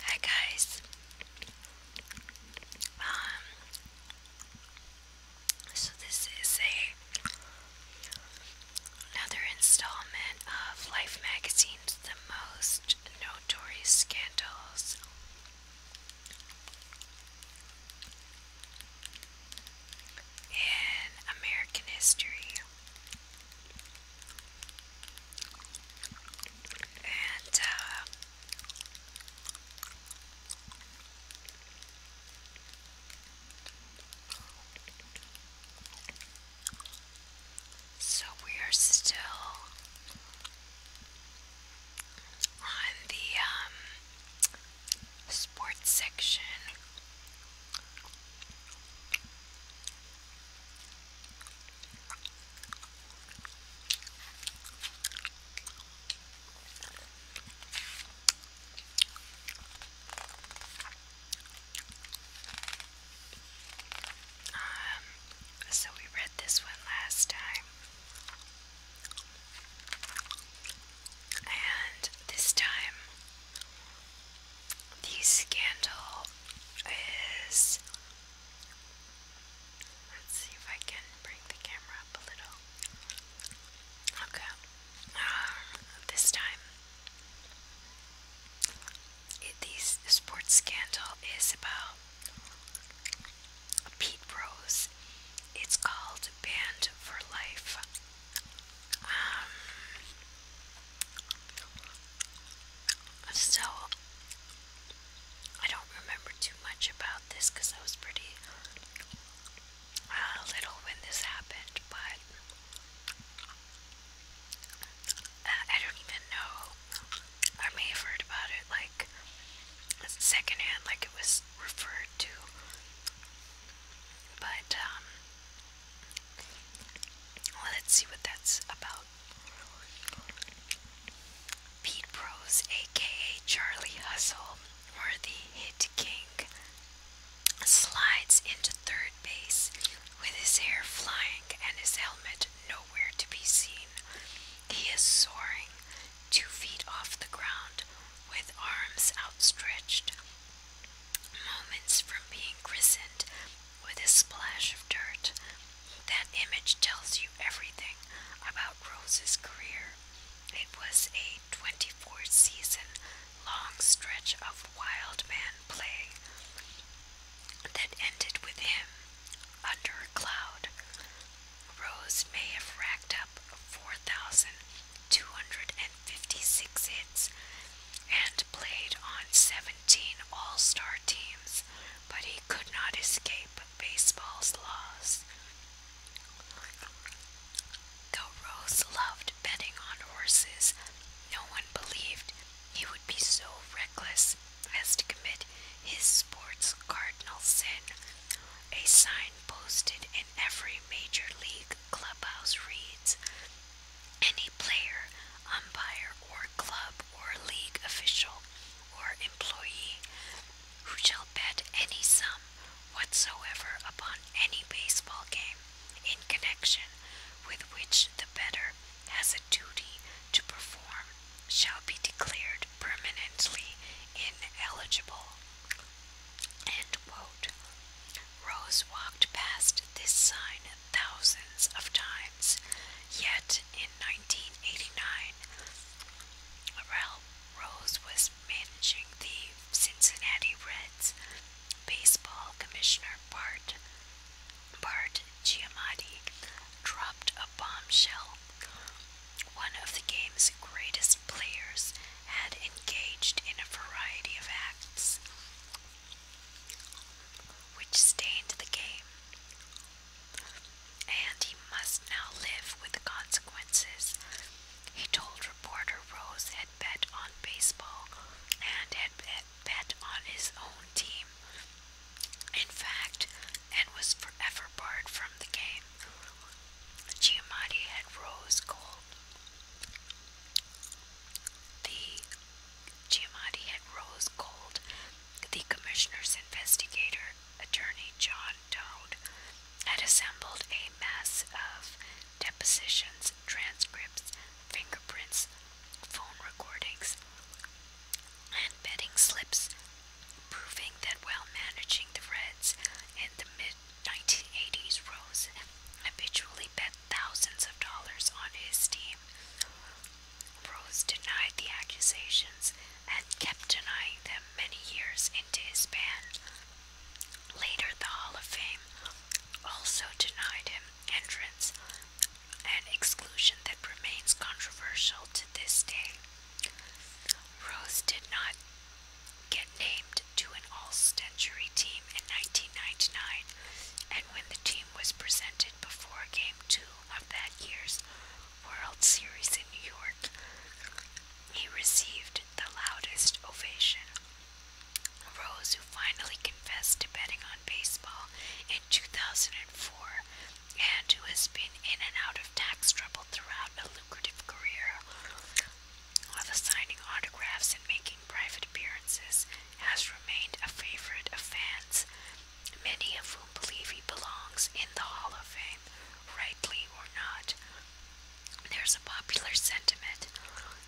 Hi guys. Um, so this is another installment of Life Magazine's the most notorious scandals. In American history, and uh, so we are still on the um, sports section. Um, so we read this one last time. And this time the scandal is. Let's see if I can bring the camera up a little. Okay. Um, this time, the sports scandal is about Pete Rose. It's called Banned for Life. Um, so, I don't remember too much about this because I was pretty uh, little when this happened, but uh, I don't even know. I may have heard about it like secondhand, like it was referred to, but um, let's see what that's about. Pete Bros, aka Charlie Hustle, worthy hit king, slides into third base with his hair flying and his helmet nowhere to be seen. He is soaring two feet off the ground with arms outstretched moments from being christened with a splash of dirt. That image tells you everything about Rose's career. It was a 24 season long stretch of wild man play that ended with him under a cloud. Rose may have racked up 4,200. 56 hits and played on 17 All Star teams, but he could not escape baseball's laws. Though Rose loved betting on horses, no one believed he would be so reckless as to commit his sport's cardinal sin. A sign posted in every major league clubhouse reads any player, umpire, or club or league official or employee who shall bet any sum whatsoever upon any baseball game in connection with which the better has a duty to perform shall be declared permanently ineligible. Rose walked past this sign thousands of times, yet in 1989, Ralph Rose was managing the Cincinnati Reds baseball commissioner Bart Bart Giamatti dropped a bombshell. One of the game's greatest players had engaged in a variety of acts which stained the game, and he must now live with the consequences. He told reporter Rose had bet on baseball and had bet on his own team, in fact, and was forever barred from the game. Giamatti had Rose Cole the Giamatti had rose cold. The commissioner's investigator, attorney John Toad, had assembled a mass of depositions, transcripts, fingerprints, phone recordings, and betting slips, proving that while managing the Reds in the mid 1980s, Rose habitually bet thousands of dollars on his team. Rose denied the accusations and kept denying them many years into his ban. Later, the Hall of Fame also denied him entrance, an exclusion that remains controversial to this day. Rose did not get named to an all-century team in 1999, and when the team was presented before Game 2 of that year's World Series in New York, he received the loudest ovation. Rose, who finally confessed to betting on baseball in 2004 and who has been in and out of tax trouble throughout a lucrative career, while signing autographs and making private appearances has remained a favorite of fans, many of whom believe he belongs in the Hall of Fame, rightly or not. There's a popular sentiment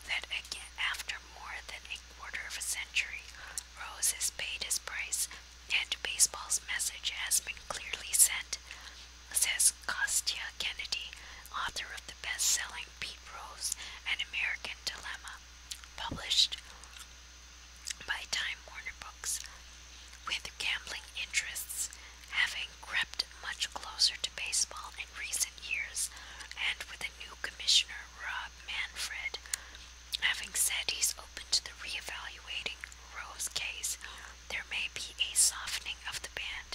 that again, after more than a quarter of a century, Rose has paid his price and baseball's message has been clearly sent says Kostya Kennedy, author of the best selling Pete Rose and American Dilemma, published by Time Warner Books, with gambling interests having crept much closer to baseball in recent years, and with a new commissioner, Rob Manfred, having said he's open to the reevaluating Rose case, there may be a softening of the band.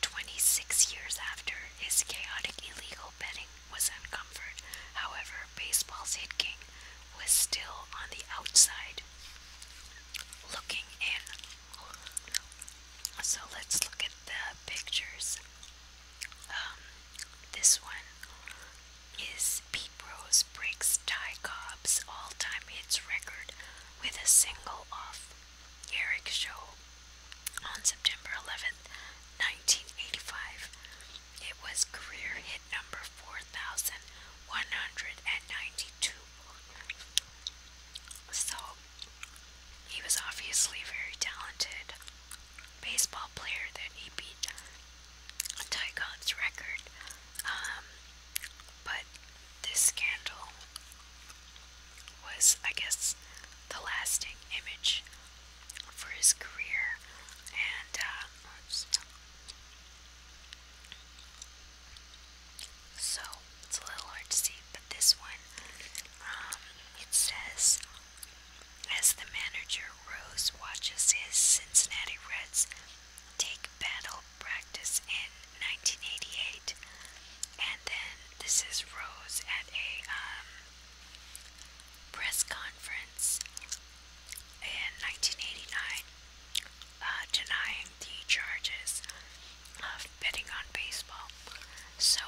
26 years after his chaotic illegal betting was uncovered, however, baseball's hit king was still on the outside looking in. So let's look at the pictures. Um, this one is Pete Rose breaks Ty Cobb's all-time hits record with a single off Eric show on September 11th, 1985. It was career hit number 4,192. So, he was obviously very talented baseball player that he beat Tycon's record. Um, but this scandal was, I guess, the lasting image for his career. And, uh, So, it's a little hard to see, but this one, um, it says, as the manager Rose watches his Cincinnati Reds take battle practice in 1988. And then this is Rose at a um, press conference in 1989 uh, denying the charges of betting on baseball. So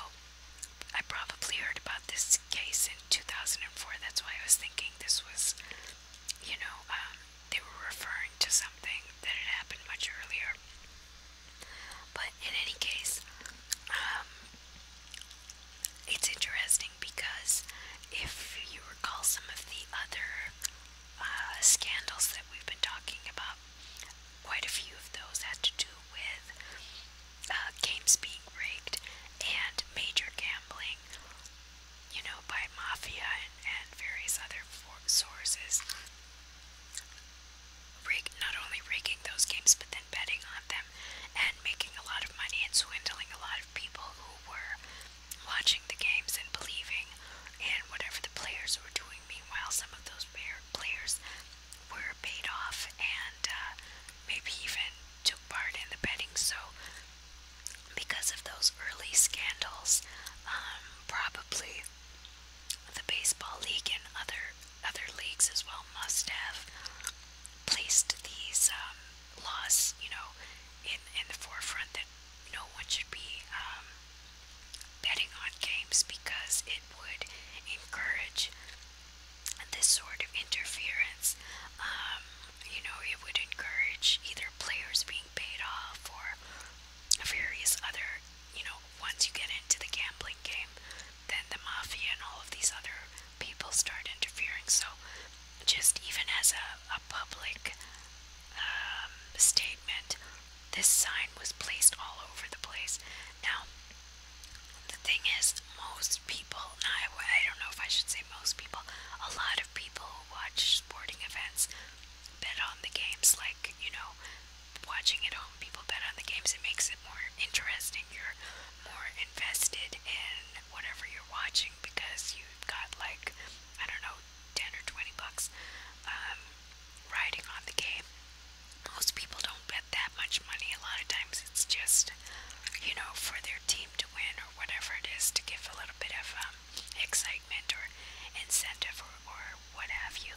I probably heard about this case in 2004. That's why I was thinking this was, you know, um, they were referring to something that had happened much earlier. But in any case, um, it's interesting because if you recall some of the other uh, scandals that we've been talking about, quite a few of those had to do with uh, games being rigged and major gambling, you know, by mafia and various other sources rig not only rigging those games but then betting on them and making a lot of money and swindling a lot of people who were watching the games and believing in whatever the players were doing. Meanwhile, some of those players were paid off and uh, maybe even took part in the betting. So, because of those early scandals, um, probably the baseball league and other other leagues as well must have placed these um, laws, you know, in in the forefront that no one should be um, betting on games because it would encourage this sort of interference. Um, you know, it would encourage either players being paid off or various other, you know, once you get into the gambling game, then the mafia and all of these other people start interfering. So, just even as a, a public um, statement, this sign was placed all over the place. Now, the thing is, most people, I, I don't know if I should say most people, a lot of people who watch sporting events bet on the games, like, you know, watching at home, people bet on the games. It makes it more interesting. You're more invested in whatever you're watching because you've got, like, I don't know, 10 or 20 bucks um, riding on the game. Most people don't bet that much money. A lot of times it's just, you know, for their team to win or whatever it is to give a little bit of um, excitement or incentive or, or what have you.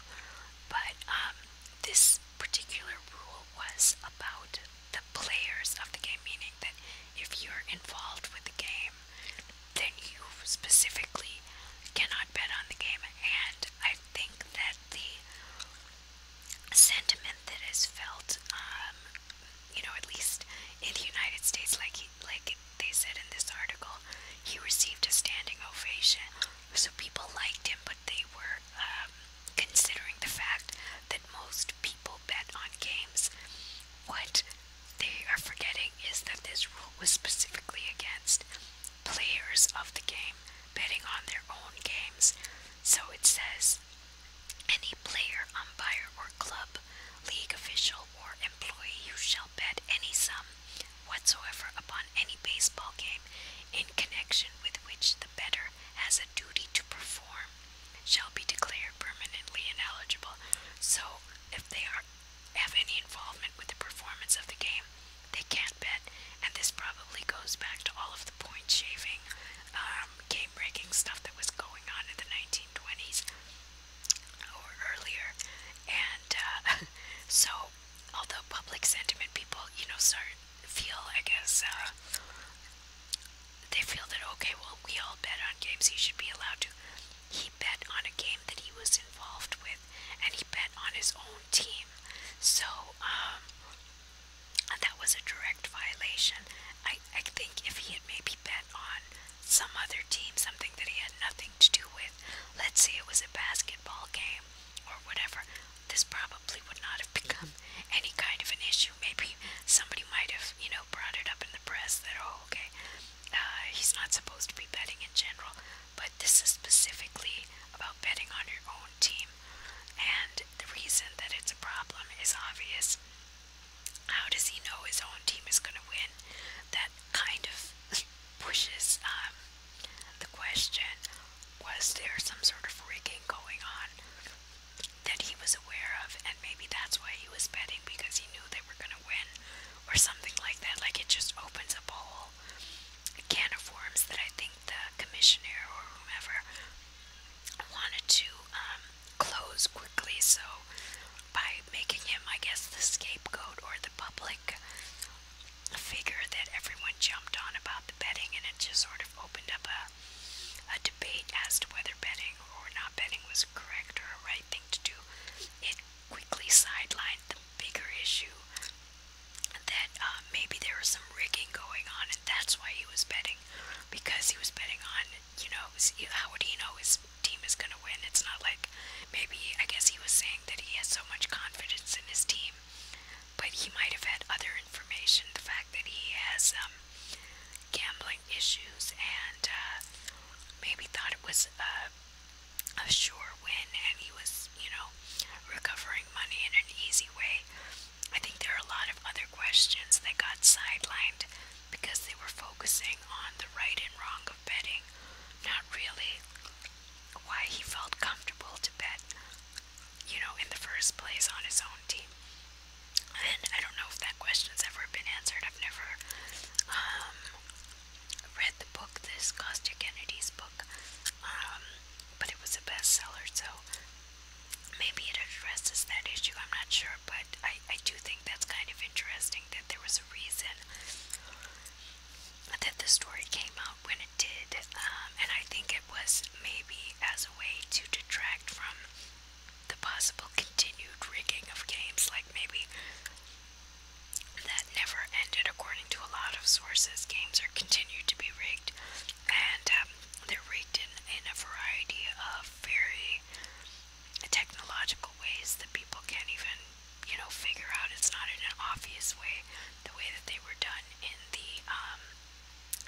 But um, this particular rule was about the players of the game, meaning that if you're involved with the game, then you specifically cannot bet on the game. And I think that the sentiment that is felt, um, you know, at least in the United States, like he, like they said in this article, he received a standing ovation. So people liked him, but they were um, considering the fact that most people bet on games. What they are forgetting is that this rule was specifically against players of the game betting on their own games. So it says any player, umpire, or club, league official, or employee who shall bet any sum whatsoever upon any baseball game in connection with which the better has a duty to perform shall be declared permanently ineligible. So if they are have any involvement with the performance of the game, they can't bet. And this probably goes back to all of the point shaving, um, game breaking stuff that was going on in the 1920s or earlier, and uh, so although public sentiment people, you know, start feel I guess uh, they feel that okay, well, we all bet on games, he should be allowed to. He bet on a game that he was involved with, and he bet on his own team. So um, that was a direct violation. I I think if he had maybe bet on some other team, something that he had nothing to do with. Let's say it was a basketball game or whatever. This probably would not have become any kind of an issue. Maybe somebody might have, you know, brought it up in the press that, oh, okay, uh, he's not supposed to be betting in general. But this is specifically about betting on your own team. And the reason that it's a problem is obvious. How does he know his own team is going to win? That kind of pushes um, the question was there some sort of rigging going on that he was aware of, and maybe that's why he was betting because he knew they were going to win or something like that? Like it just opens up a whole can of worms that I think the commissioner or whomever wanted to um, close quickly, so by making him, I guess, the scapegoat or the public figure that everyone jumped on about the betting, and it just sort of opened up a, a debate as to whether betting or not betting was correct or a right thing to do. It quickly sidelined the bigger issue that uh, maybe there was some rigging going on, and that's why he was betting because he was betting on you know, how would he know his team is going to win? It's not like maybe, I guess he was saying that he has so much confidence in his team, but he might have had other information. The fact that he has um, gambling issues and uh, maybe thought it was a, a sure win and he was, you know, recovering money in an easy way. I think there are a lot of other questions that got sidelined because they were focusing on the right and wrong of betting, not really why he felt comfortable to bet, you know, in the first place on his own team. And I don't know if that question's ever been answered. I've never um, read the book, this Costa Kennedy's book, um, but it was a bestseller, so maybe it addresses that issue. I'm not sure, but I, I do think that's kind of interesting that there was a reason that the story came out when it did, um, and I think it was maybe as a way to detract from the possible continued rigging of games, like maybe that never ended. According to a lot of sources, games are continued to be rigged, and um, they're rigged in, in a variety of very technological ways that people can't even, you know, figure out. It's not in an obvious way, the way that they were done in the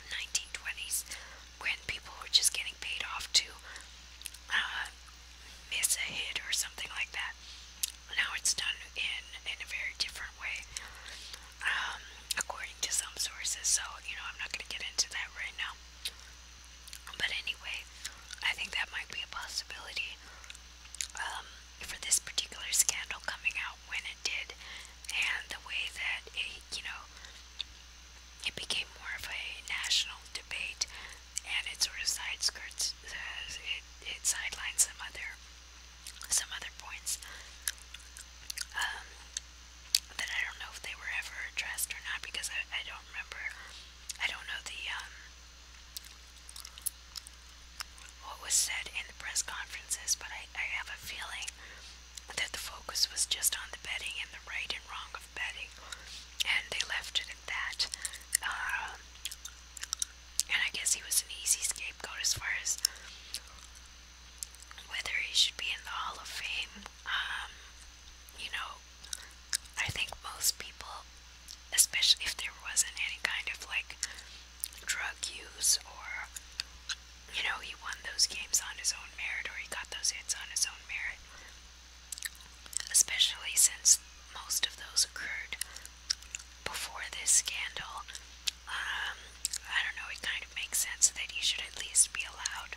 1920s um, when people were just getting paid off to uh, miss a hit or something like that. Now it's done in, in a very different way, um, according to some sources. So, you know, I'm not going to get into that right now. But anyway, I think that might be a possibility um, for this particular scandal coming out when it did, and the way that it, you know, it became more of a national debate, and it sort of side skirts, uh, it, it sidelines some other, some other points. Um, that I don't know if they were ever addressed or not because I, I don't remember. I don't know the um, what was said in the press conferences, but I, I have a feeling that the focus was just on the betting and the right and wrong of betting, and they left it at that. Uh, and I guess he was an easy scapegoat as far as whether he should be in the Hall of Fame. Um, you know, I think most people, especially if there wasn't any kind of like drug use or you know, he won those games on his own merit or he got those hits on his own merit, especially since most of those occurred before this scandal. Um, I don't know, it kind of makes sense that he should at least be allowed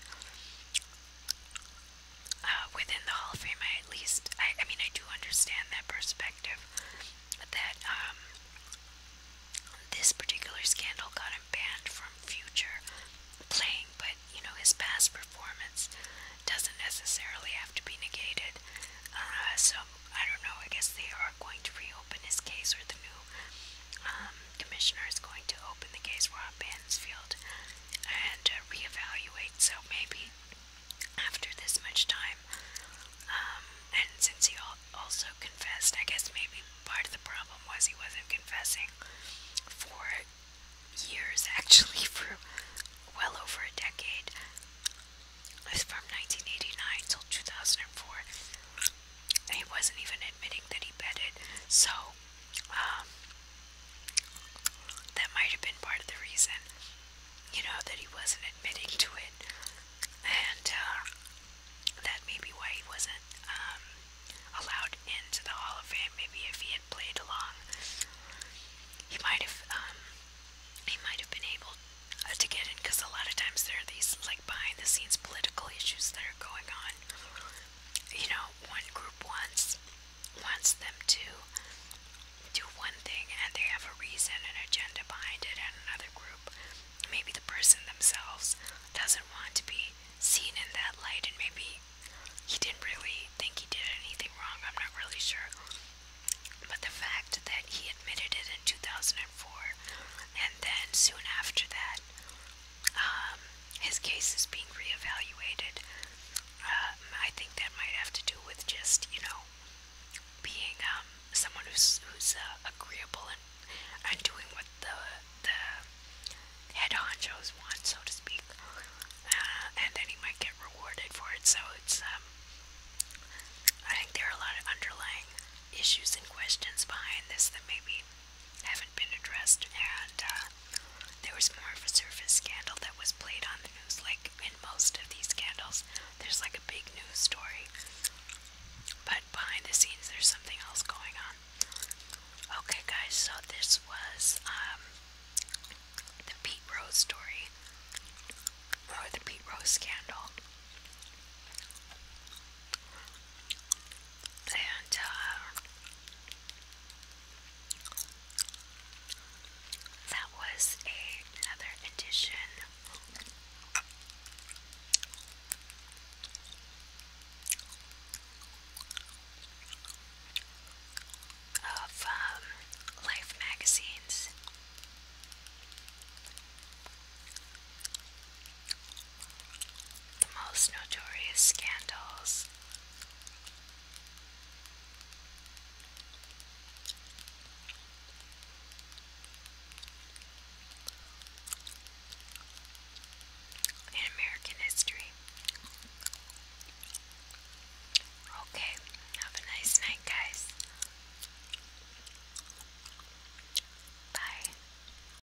uh, within the Hall of Fame, I at least, I, I mean, I do understand that perspective that um, this particular scandal got him banned from future playing, but you know, his past performance doesn't necessarily have to be negated. Uh, so, I don't know, I guess they are going to reopen his case or the new. Um, commissioner is going to open the case for Bansfield and uh, reevaluate. So maybe after this much time, um, and since he also confessed, I guess maybe part of the problem was he wasn't confessing for years, actually, for well over a decade. From 1989 till 2004, he wasn't even admitting that he betted. So, um, that might have been part of the reason, you know, that he wasn't admitting to it. And, uh, that may be why he wasn't, um, allowed into the Hall of Fame. Maybe if he had played along, he might have, um, he might have been able uh, to get in because a lot of times there are these, like, behind the scenes political issues that are going on you know, one group wants wants them to do one thing and they have a reason, an agenda behind it, and another group, maybe the person themselves doesn't want to be seen in that light, and maybe he didn't really think he did anything wrong. I'm not really sure. But the fact that he admitted it in 2004 and then soon after that um, his case is being reevaluated. Um, I think that might have to do with just you know being um, someone who's who's uh, agreeable and doing what the the head honchos want, so to speak. Uh, and then he might get rewarded for it. So it's um, I think there are a lot of underlying issues and questions behind this that maybe haven't been addressed, and uh, there was more of a surface scandal that was played on the news. Like in most of these scandals, there's like a big news story, but behind the scenes, there's something else going on. Okay, guys, so this was um, the Pete Rose story, or the Pete Rose scandal and uh, that was another edition. Of um, Life magazines the most notorious scandals. In American history. Okay, have a nice night, guys. Bye.